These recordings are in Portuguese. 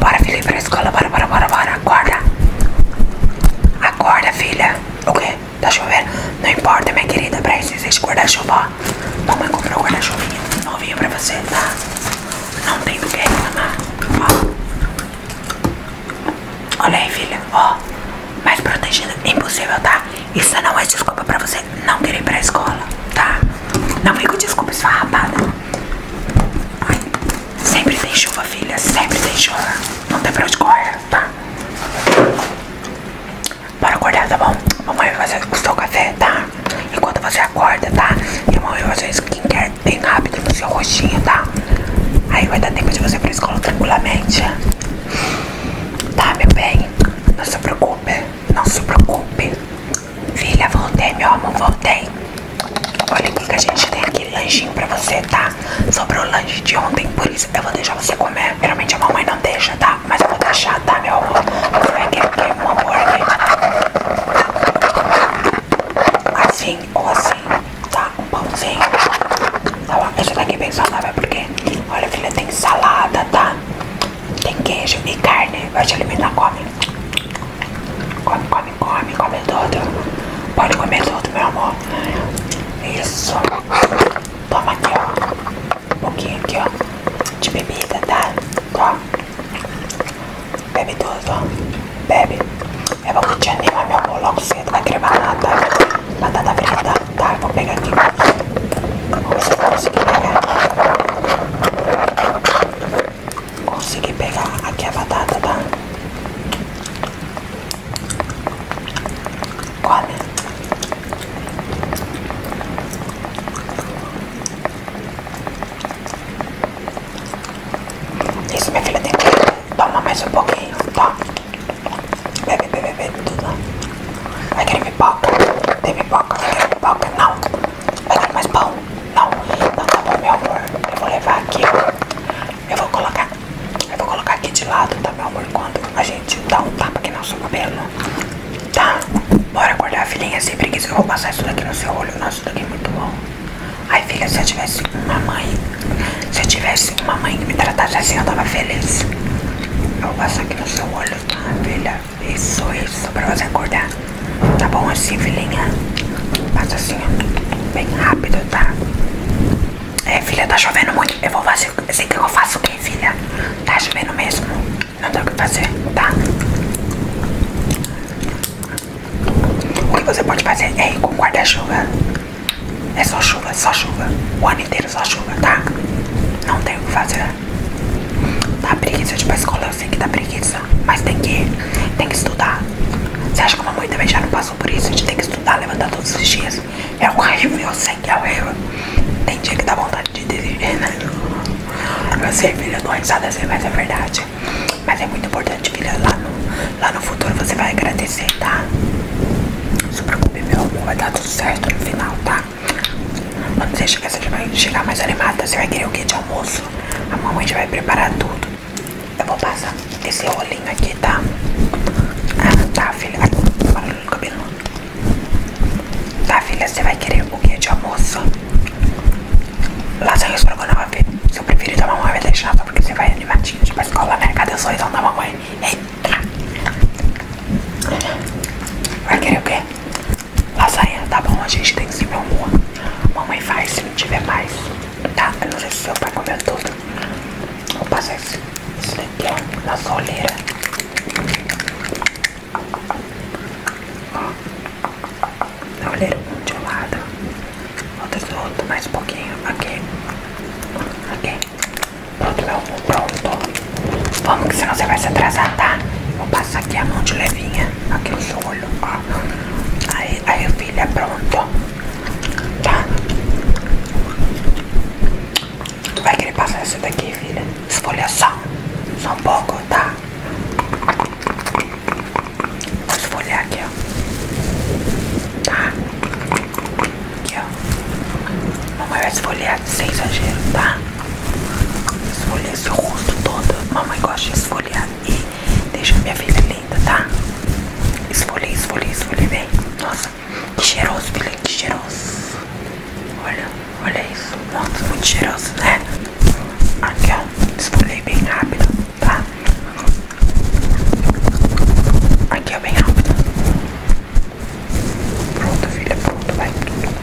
Bora, filha, ir pra escola. Bora, bora, bora, bora. Acorda. Acorda, filha. O quê? Tá chovendo? Não importa, minha querida. Pra isso existe guarda-chuva. Mamãe comprou guarda-chuvinha novinho pra você, tá? Não tem do que reclamar. Ó. Olha aí, filha. Ó. Mais protegida. Impossível, tá? Isso não é desculpa pra você não querer ir pra escola, tá? Não vem com desculpa rapada sempre tem chuva, filha. Sempre tem chuva. Não tem pra onde correr, tá? Bora acordar, tá bom? Mamãe vai fazer o seu café, tá? Enquanto você acorda, tá? E mamãe vai fazer quer tem rápido no seu rostinho, tá? Aí vai dar tempo de você ir pra escola tranquilamente. Tá, meu bem? Não se preocupe. Não se preocupe. Filha, voltei, meu amor, voltei. Olha aqui que a gente tem aqui lanchinho pra você, tá? sobre o lanche de ontem, por isso eu vou deixar você comer. Geralmente a mamãe não deixa, tá? Mas eu vou deixar, tá, meu amor? Você vai querer que é é um hambúrguer né? assim ou assim, tá? Um pãozinho. Tá bom? Esse daqui bem por quê? olha, filha, tem salada, tá? Tem queijo e carne. Vai te alimentar, come. Come, come, come, come tudo. Pode comer tudo, meu amor. Isso. Toma aqui, ó. Um pouquinho aqui, ó. De bebida, tá? Bebe tudo, ó. Bebe. É bom que te anima, meu amor. Logo cedo vai querer batata. Batata frita. Tá, vou pegar aqui. Vamos ver se pegar. Consegui pegar aqui a batata, tá? Isso, minha filha, tem que tomar mais um pouquinho, tá? Bebe, bebe, bebe tudo. Vai querer pipoca? Tem pipoca? Vai querer pipoca? Não. Vai querer mais pão? Não. Então tá bom, meu amor. Eu vou levar aqui, ó. Eu vou colocar. Eu vou colocar aqui de lado, tá, meu amor? Quando a gente dá um tapa aqui no nosso cabelo. Tá? Bora acordar, filhinha, sem preguiça. Eu vou passar isso daqui no seu olho. Nossa, isso daqui é muito bom. Ai, filha, se eu tivesse uma mãe. Se eu tivesse uma mãe que me tratasse assim, eu tava feliz. Eu passo aqui no seu olho, tá, filha? Isso, isso, pra você acordar. Tá bom assim, filhinha? Passa assim, ó. Bem rápido, tá? É, filha, tá chovendo muito. Eu vou fazer. Assim que eu faço o quê, filha? Tá chovendo mesmo. Não tem o que fazer, tá? O que você pode fazer é ir com guarda-chuva. É só chuva, é só chuva. O ano inteiro só chuva, tá? Não tem o que fazer. Dá preguiça de ir escola, eu sei que dá preguiça. Mas tem que ir, tem que estudar. Você acha que uma mamãe também já não passou por isso? De tem que estudar, levantar todos os dias. É o horrível, eu sei que é o horrível. Tem dia que dá vontade de desistir, né? Eu sei, filha, eu tô risada assim, mas é verdade. Mas é muito importante, filha, lá no Lá no futuro você vai agradecer, tá? Não se preocupe, meu amor, vai dar tudo certo no final, tá? Quando você chegar, você vai chegar mais animada. Você vai querer o que de almoço? A mamãe já vai preparar tudo. Eu vou passar esse rolinho aqui, tá? Ah, tá, filha. Ai, barulho no cabelo. Tá, filha, você vai querer o que de almoço? lá Lasanha estrogonofe. Seu preferido a mamãe vai deixar só porque você vai animar voltadinha de ir pra escola, né? Cadê o sorrisão da mamãe? Eita! Vai querer o quê? Lasanha, tá bom? A gente tem que se humor. Mamãe faz se não tiver mais, tá? Eu não sei se seu pai comeu tudo. Vou passar isso, isso daqui, ó, na soleira. Ó, na olheira um lado. Falta solta mais um pouquinho. Aqui. Aqui. Pronto, meu amor. Pronto. Vamos que senão você vai se atrasar, tá? Vou passar aqui a mão de levinha. Aqui os olhos, Aí, aí, filha, pronto. Tá? Tu vai querer passar isso daqui, filha? Escolha só. Só um pouco, tá? Vou esfolhar aqui, ó. Tá? Aqui, ó. Mamãe vai esfolhar sem exagero, tá? Esfolhar seu rosto todo. Mamãe gosta de esfolhar e deixa minha filha linda, tá? Esfolhei, esfolhei, esfolhei bem. Nossa, que cheiroso, filha, que cheiroso. Olha, olha isso. muito, muito cheiroso, né? Aqui, ó. Esfolhei bem rápido tá? Aqui é bem rápido. Pronto, filha, pronto, vai.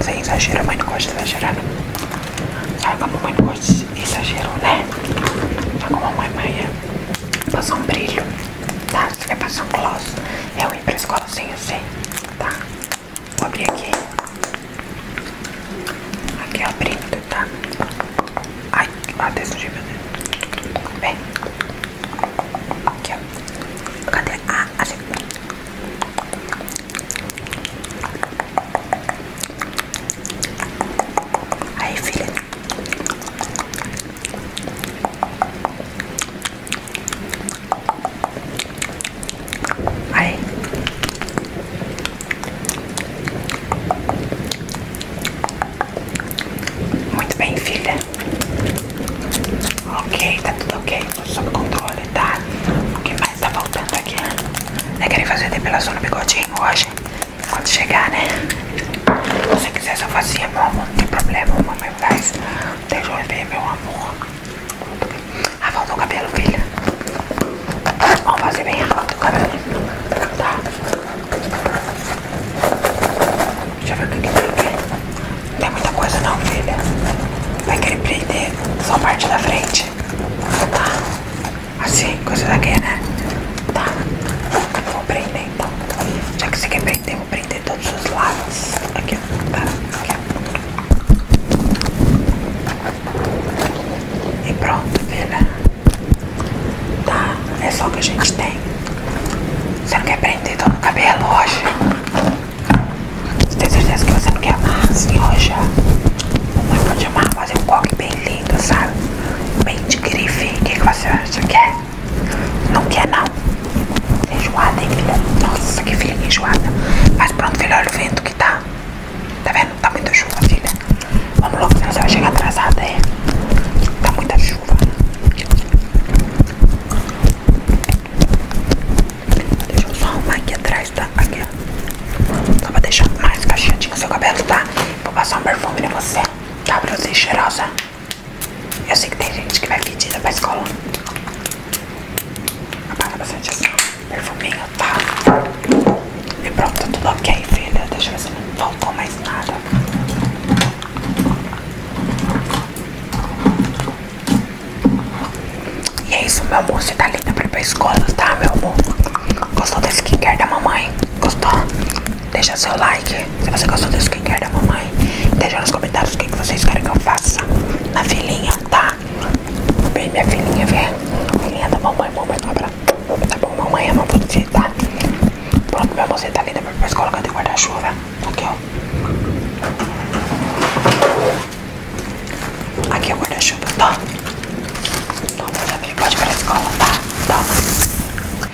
Sem exagero, a mãe não gosta de exagerar, Sabe como a mãe não gosta de exagero, né? Sabe tá como a mãe, mãe é? Passar um brilho, tá? É Se quer passar um gloss, eu é ir pra escola sem assim, eu sei, tá? Vou abrir aqui. Aqui é abrindo, tá? Ai, até sujei meu dedo. Vem. Aqui, Cadê? Ah, achei. Aí, filha. Muito bem, filha. Ok, tá tudo ok. Tudo sob controle, tá? O que mais tá faltando aqui? é Querem fazer depilação no bigodinho hoje? Quando chegar, né? Se você quiser, só fazia, meu amor. Não tem problema, mamãe faz. Deixa eu ver, meu amor. A ah, volta do cabelo, filha. Vamos fazer bem a volta do cabelo. Tá? Deixa eu ver o que, que tem aqui. Não tem muita coisa, não, filha. Vai querer prender só a parte da frente. Tá? Assim, coisa daqui, né? Tá? Vou prender então. Já que você quer prender, vou prender todo todos os lados. Aqui, tá? E pronto, filha. Tá? É só o que a gente tem. Você não quer prender todo o cabelo hoje? Você tem certeza que você não quer amar assim hoje? Mamãe pode amar, fazer um coque bem lindo, sabe? Bem de grife. O que, que você acha? Quer? É? Não quer, não? Enjoada, hein, filha? Nossa, que filha enjoada. Mas pronto, filha, olha o vento que tá. Tá vendo? Tá muita chuva, filha. Vamos logo, senão você vai chegar atrasada, é? Tá muita chuva. Deixa eu só arrumar aqui atrás, tá? Aqui, ó. Só pra deixar mais cacheadinho o seu cabelo, tá? Vou passar um perfume em você. Tá pra você cheirosa. Eu sei que tem gente que vai pedida pra escola. Apaga bastante essa perfuminho, tá? E pronto, tá tudo ok, filha. Deixa eu ver se não faltou mais nada. E é isso, meu amor. Você tá linda pra ir pra escola, tá, meu amor? Gostou desse skincare da mamãe? Gostou? deixa seu like se você gostou do quer da mamãe. Deixa nos comentários o que, que vocês querem que eu faça na filhinha, tá? Vem minha filhinha, vem. Filhinha da mamãe, mamãe do tá abraço. Tá bom, mamãe é ama você, tá? Pronto, minha mãozinha tá linda pra escola colocar de guarda-chuva. Aqui, ó. Aqui é o guarda-chuva, tá? Toma, já vem, pode ir pra escola, tá? Toma.